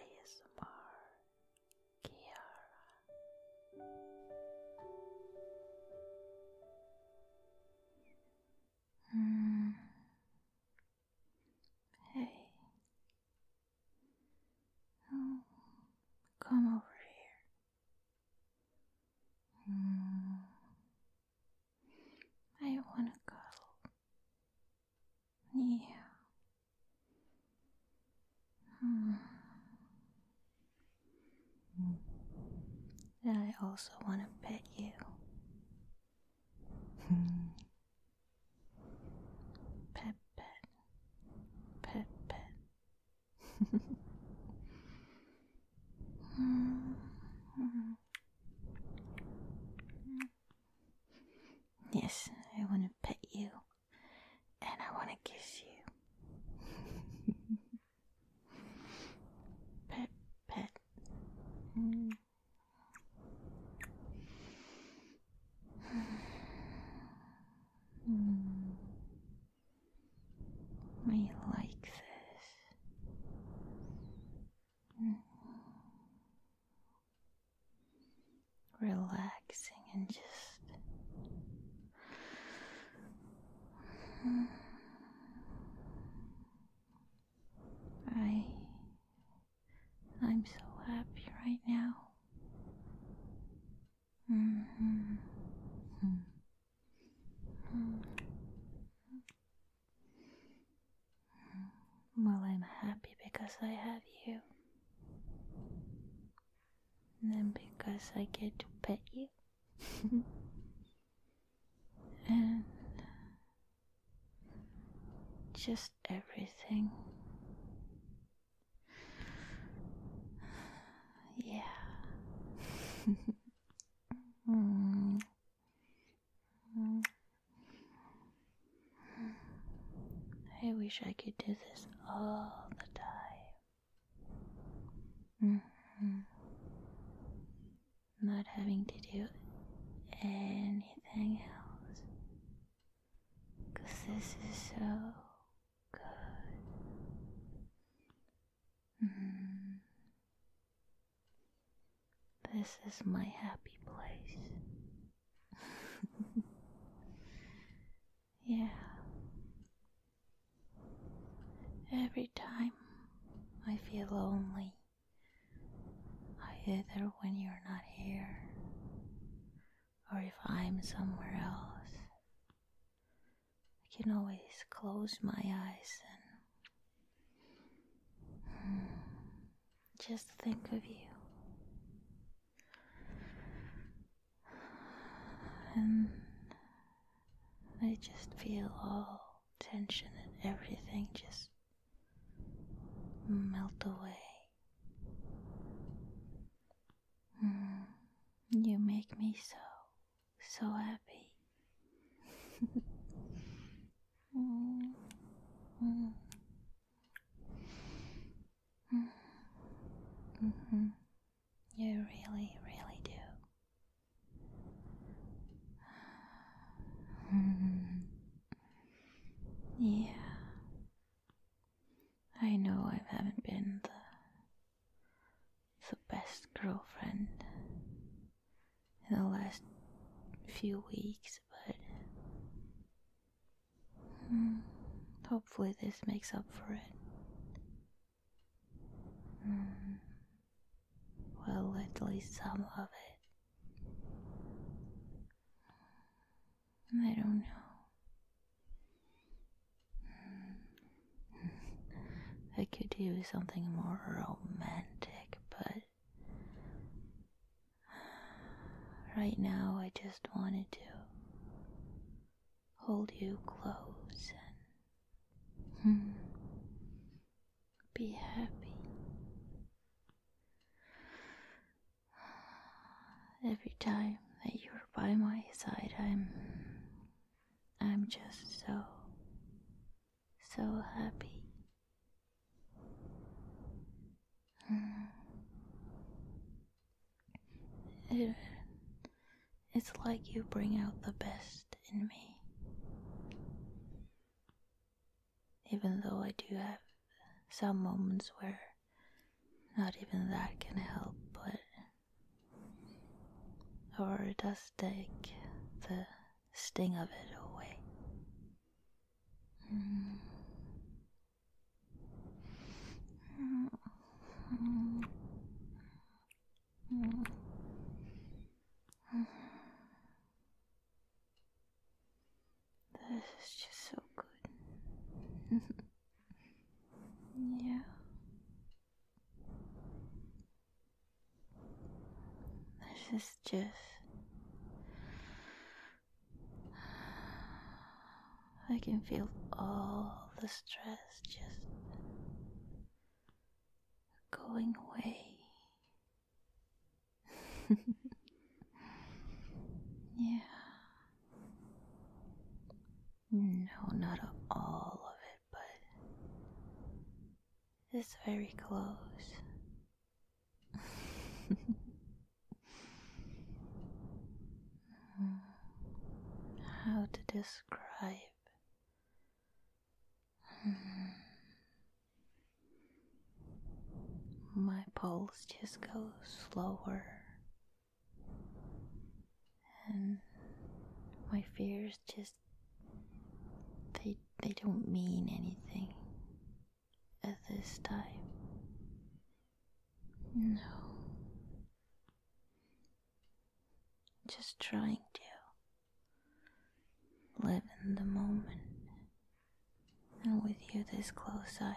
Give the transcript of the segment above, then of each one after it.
ASMR Kiara hmm. Hey oh, come over here hmm. I wanna cuddle. Yeah. Hmm. I also want to pet you. pet, pet, pet, pet. -hmm. hmm. Yes, I want to pet you and I want to kiss you. pet, pet. Mm. Mm. I like this. Relaxing and just I I'm so happy right now. Mm-hmm. Mm-hmm. Well, I'm happy because I have you. And because I get to pet you. and just everything. Yeah. Mm. I wish I could do this all the time. Mm-hmm. Not having to do anything else. this is so good. Mm-hmm. This is my happy place. yeah. Every time I feel lonely, I either when you're not here or if I'm somewhere else, I can always close my eyes and hmm, just think of you. And I just feel all tension and everything just melt away. Hmm, you make me so so happy. mm. Mm. Mm. -hmm. You really, really do. -hmm. Yeah, I know I haven't been the the best girlfriend in the last few weeks, but hmm, hopefully this makes up for it. Hmm, well, at least some of it. I don't know. I could do something more romantic, but right now I just wanted to hold you close and hmm, be happy. Every time that you're by my side, I'm I'm just so, so happy. Mm. It, it's like you bring out the best in me. Even though I do have some moments where not even that can help, but or does take the sting of it away. This is just so good. Yeah. This is just. I can feel all the stress just going away. yeah. No, not all of it, but it's very close. How to describe? Hmm. My pulse just goes slower and my fears just they they don't mean anything at this time. No. Just trying to live in the moment. And with you this close, I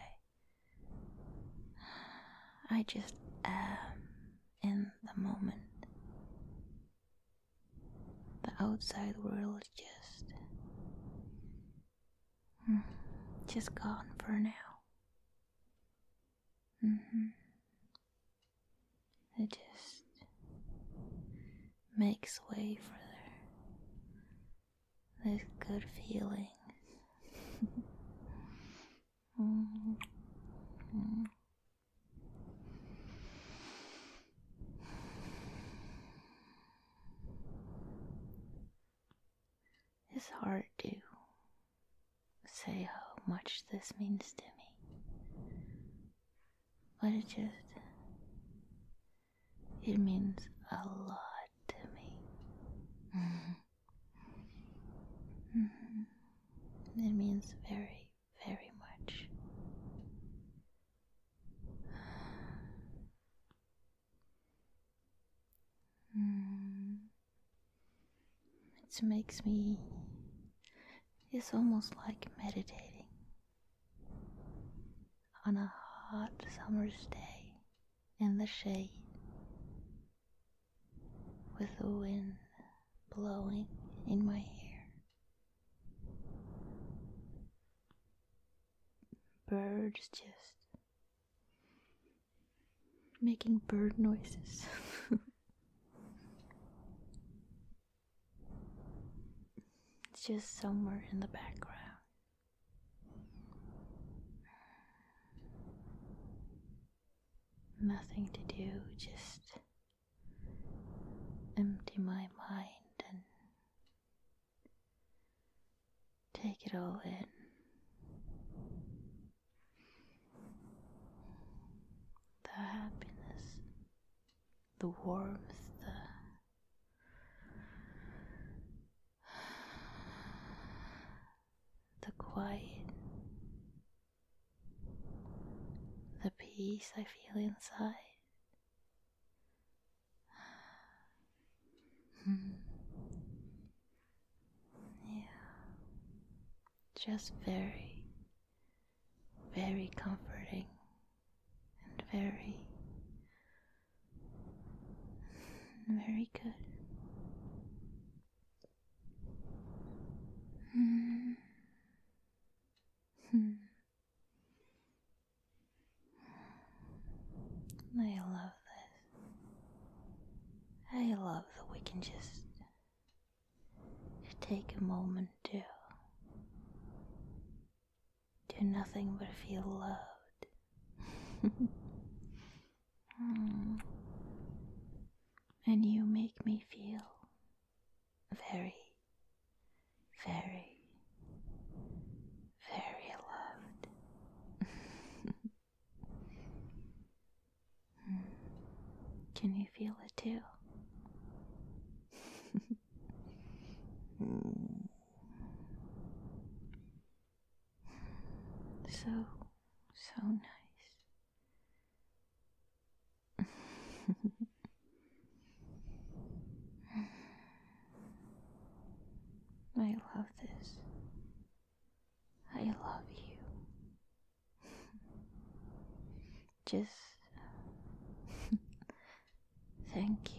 I just am in the moment. The outside world just. Mm, just gone for now. Mm-hmm. It just makes way for there this good feeling. mm -hmm. It's hard to say how much this means to me, but it just it means a lot to mm-hmm. me. Mm-hmm. It means very, very much. Mm. It makes me. It's almost like meditating on a hot summer's day in the shade with the wind blowing in my hair. Birds just making bird noises. it's just somewhere in the background. Nothing to do, just empty my mind and take it all in. The happiness, the warmth, the the quiet, the peace I feel inside. Hmm. Yeah, just very, very comforting and very very good. Hmm. Hmm. I love this. I love that we can just take a moment to do nothing but feel loved. Hmm. And you make me feel very, very, very loved. Hmm. Can you feel it too? Hmm. So, so nice. I love this. I love you. Just Thank you.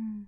mm.